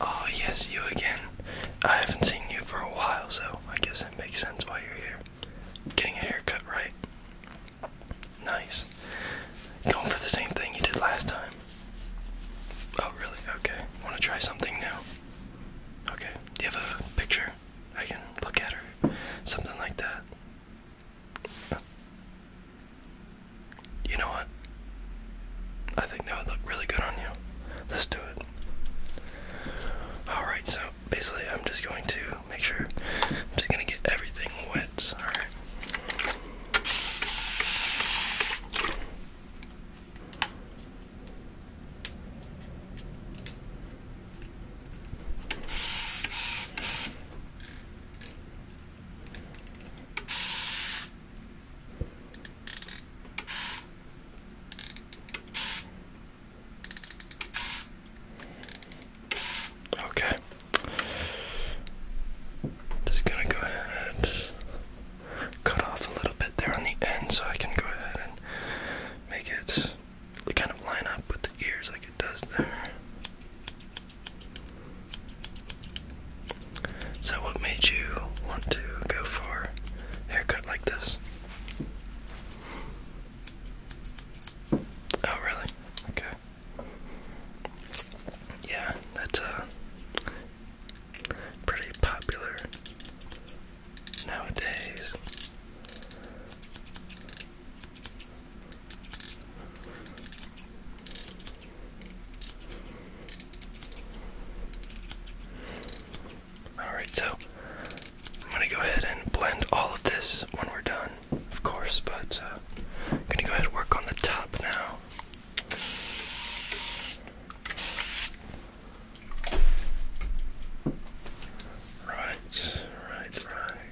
Oh, yes, you again. I haven't seen you for a while, so I guess it makes sense why you're here. Getting a haircut, right? Nice. Going for the same thing you did last time. Oh, really? Okay. Want to try something new? Okay. Do you have a picture? I can look at her. Something like that. You know what? I think that would look really good on you. Let's do it. Alright, so basically, I'm just going to make sure I'm just going to get everything wet. Alright. Okay. Just gonna go ahead cut off a little bit there on the end so I can go ahead and make it kind of line up with the ears like it does there. So, what made you want to go for haircut like this? Oh, really? Okay. Yeah, that's a pretty popular nowadays. Alright, so I'm going to go ahead and blend all of this when we're done, of course, but uh, I'm going to go ahead and work on the top now. Right, right, right.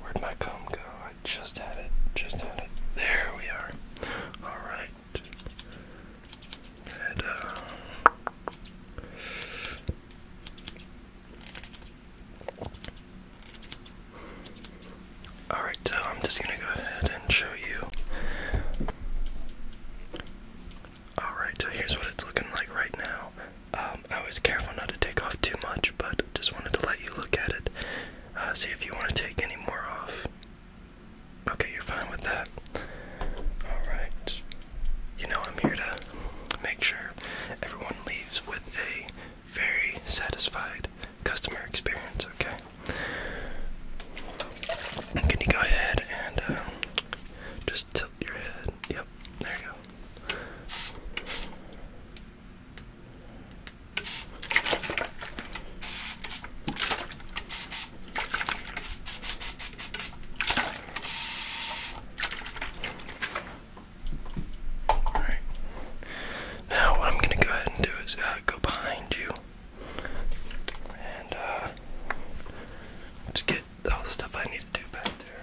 Where'd my comb go? I just had it. Just had it. There we are. All right. Uh, all right, so I'm just gonna go ahead and show you. All right, so here's what it's looking like right now. Um, I was careful not to take off too much, but just wanted to let you look at it. Uh, see if you want to take any more off. Okay, you're fine with that. All right you know, I'm here to make sure everyone leaves with a very satisfied customer experience, okay? Can you go ahead and uh, just tilt your head? Yep, there you go. Alright. Now, what I'm going to go ahead and do is uh, go behind you. And, uh, get all the stuff I need to do back there.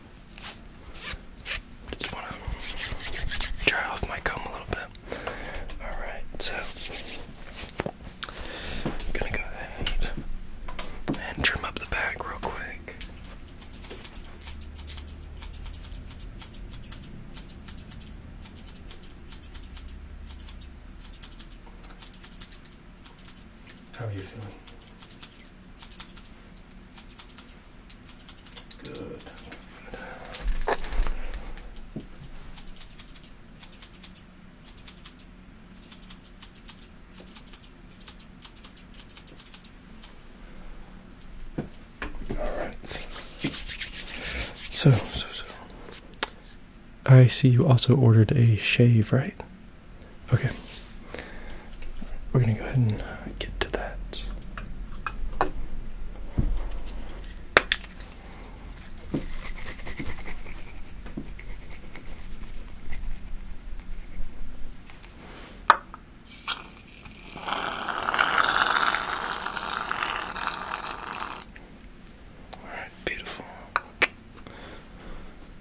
Just want to dry off my comb a little bit. Alright, so I'm gonna go ahead and trim up the back real quick. How are you feeling? Good. All right. So, so, so. I see you also ordered a shave, right? Okay, we're gonna go ahead and get to that. All right, beautiful.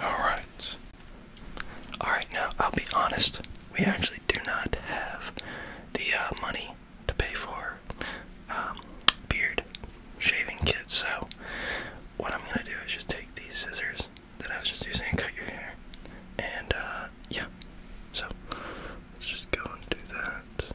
All right. All right, now I'll be honest. We actually do not have the uh, money to pay for um, beard shaving kit. So what I'm gonna do is just take these scissors that I was just using cut your hair. And uh, yeah, so let's just go and do that.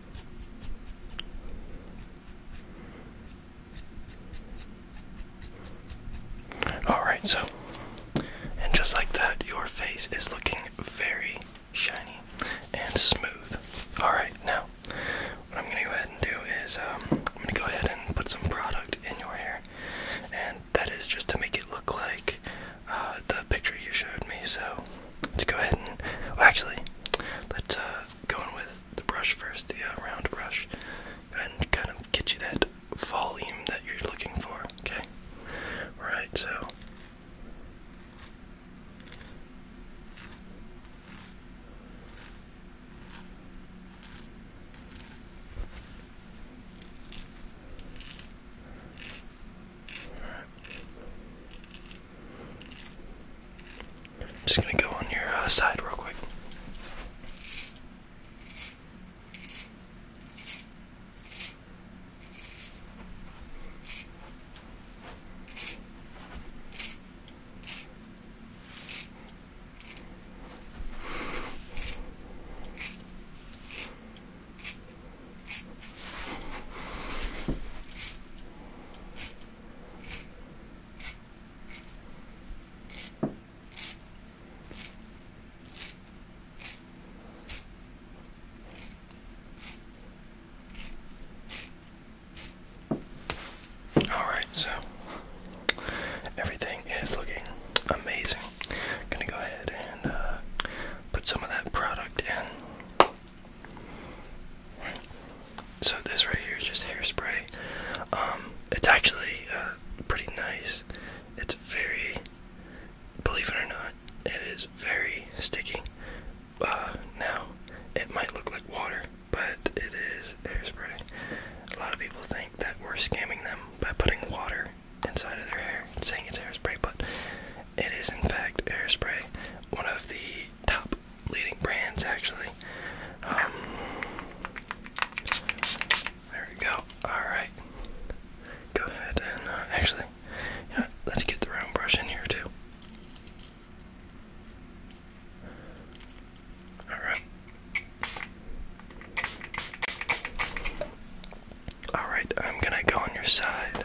Alright, so, and just like that, your face is looking very shiny and smooth. Alright, now, what I'm gonna go ahead and do is, um, I'm gonna go ahead and put some product in your hair, and that is just to make it look like uh, the picture you showed me. So, let's go ahead and, well, oh, actually, let's, uh, going with the brush first, the uh, round brush, and kind of get you that volume that you're looking for, okay? Alright, so. I'm just gonna go on your uh, side real quick. Alright, so everything is looking amazing. Gonna go ahead and uh, put some of that product in. So this right here is just hairspray. Um, it's actually uh, pretty nice. It's very, believe it or not, it is very sticky. Uh, now, it might look like water, but it is hairspray. A lot of people think that we're scamming them by putting water inside of their hair, saying it's hairspray, but it is in fact hairspray. One of the top leading brands actually. Um, there we go. All right. Go ahead and uh, actually, you let's get the round brush in here too. All right. All right, I'm gonna go on your side.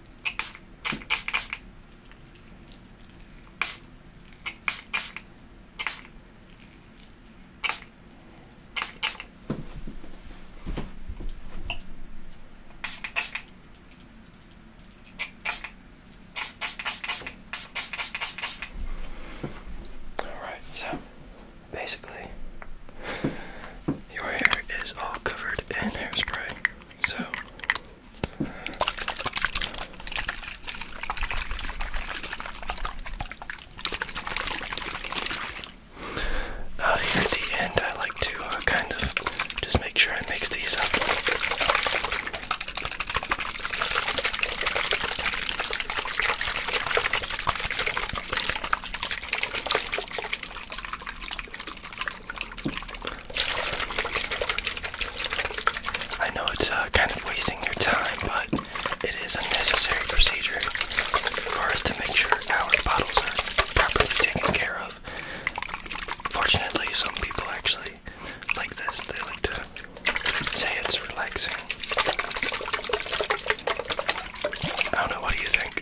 Alright, so basically, your hair is all covered in hairspray. So here at the end, I like to uh, kind of just make sure I mix these up. I know it's uh, kind of wasting your time, but it is a necessary procedure for us to make sure our bottles are properly taken care of. Fortunately, some people actually like this. They like to say it's relaxing. I don't know, what do you think?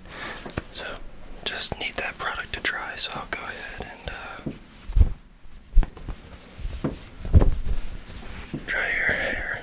so just need that product to dry. So I'll go ahead and uh, dry your hair.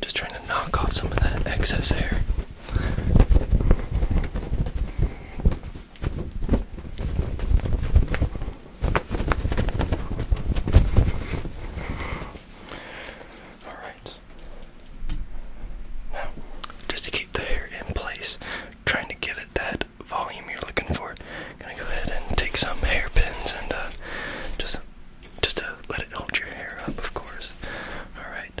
Just trying to knock off some of that excess hair. All right. Now, just to keep the hair in place, trying to give it that volume you're looking for, gonna go ahead and take some hairpins and uh, just just to let it hold your hair up, of course. Alright.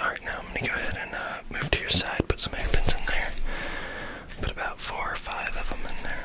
Alright, now I'm going to go ahead and uh, move to your side, put some hairpins in there. Put about four or five of them in there.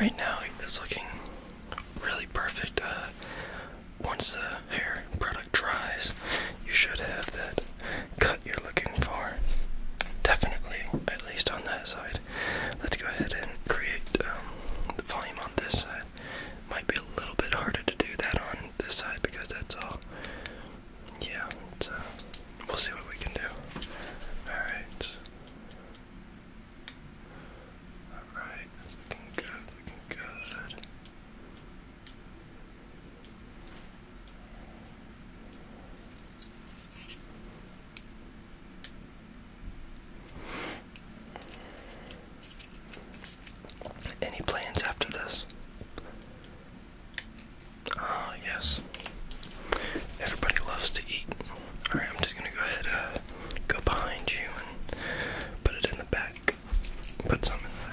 Right now, it's looking really perfect. Uh, once the hair product dries, you should have that cut you're looking for. Definitely, at least on that side. Let's go ahead and create um, the volume on this side. Might be a little bit harder to do that on this side because that's all. Yeah, we'll see what we can do. Alright. Alright, that's looking good, looking good. Any plans after this? Ah, yes. Everybody loves to eat. Alright, I'm just gonna go ahead uh, go behind you and put it in the back. Put some in the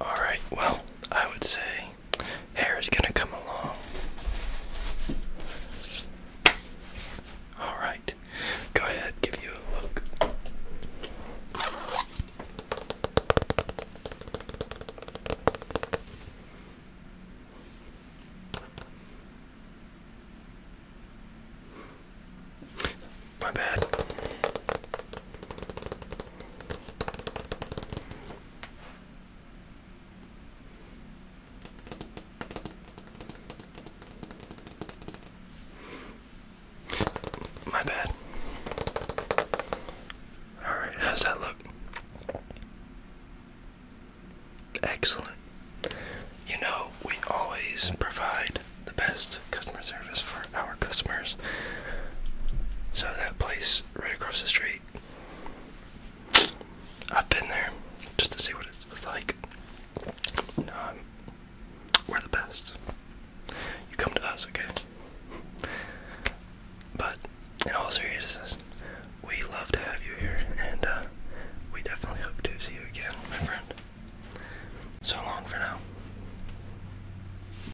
Alright, well, I would say is gonna come along. Alright, go ahead, give you a look. My bad. My bad. Alright, how's that look? Excellent. You know, we always provide the best customer service for our customers. So that place right across the street, I've been there just to see what it was like. Um, we're the best. You come to us, okay? But in all seriousness, we love to have you here, and uh, we definitely hope to see you again, my friend. So long for now.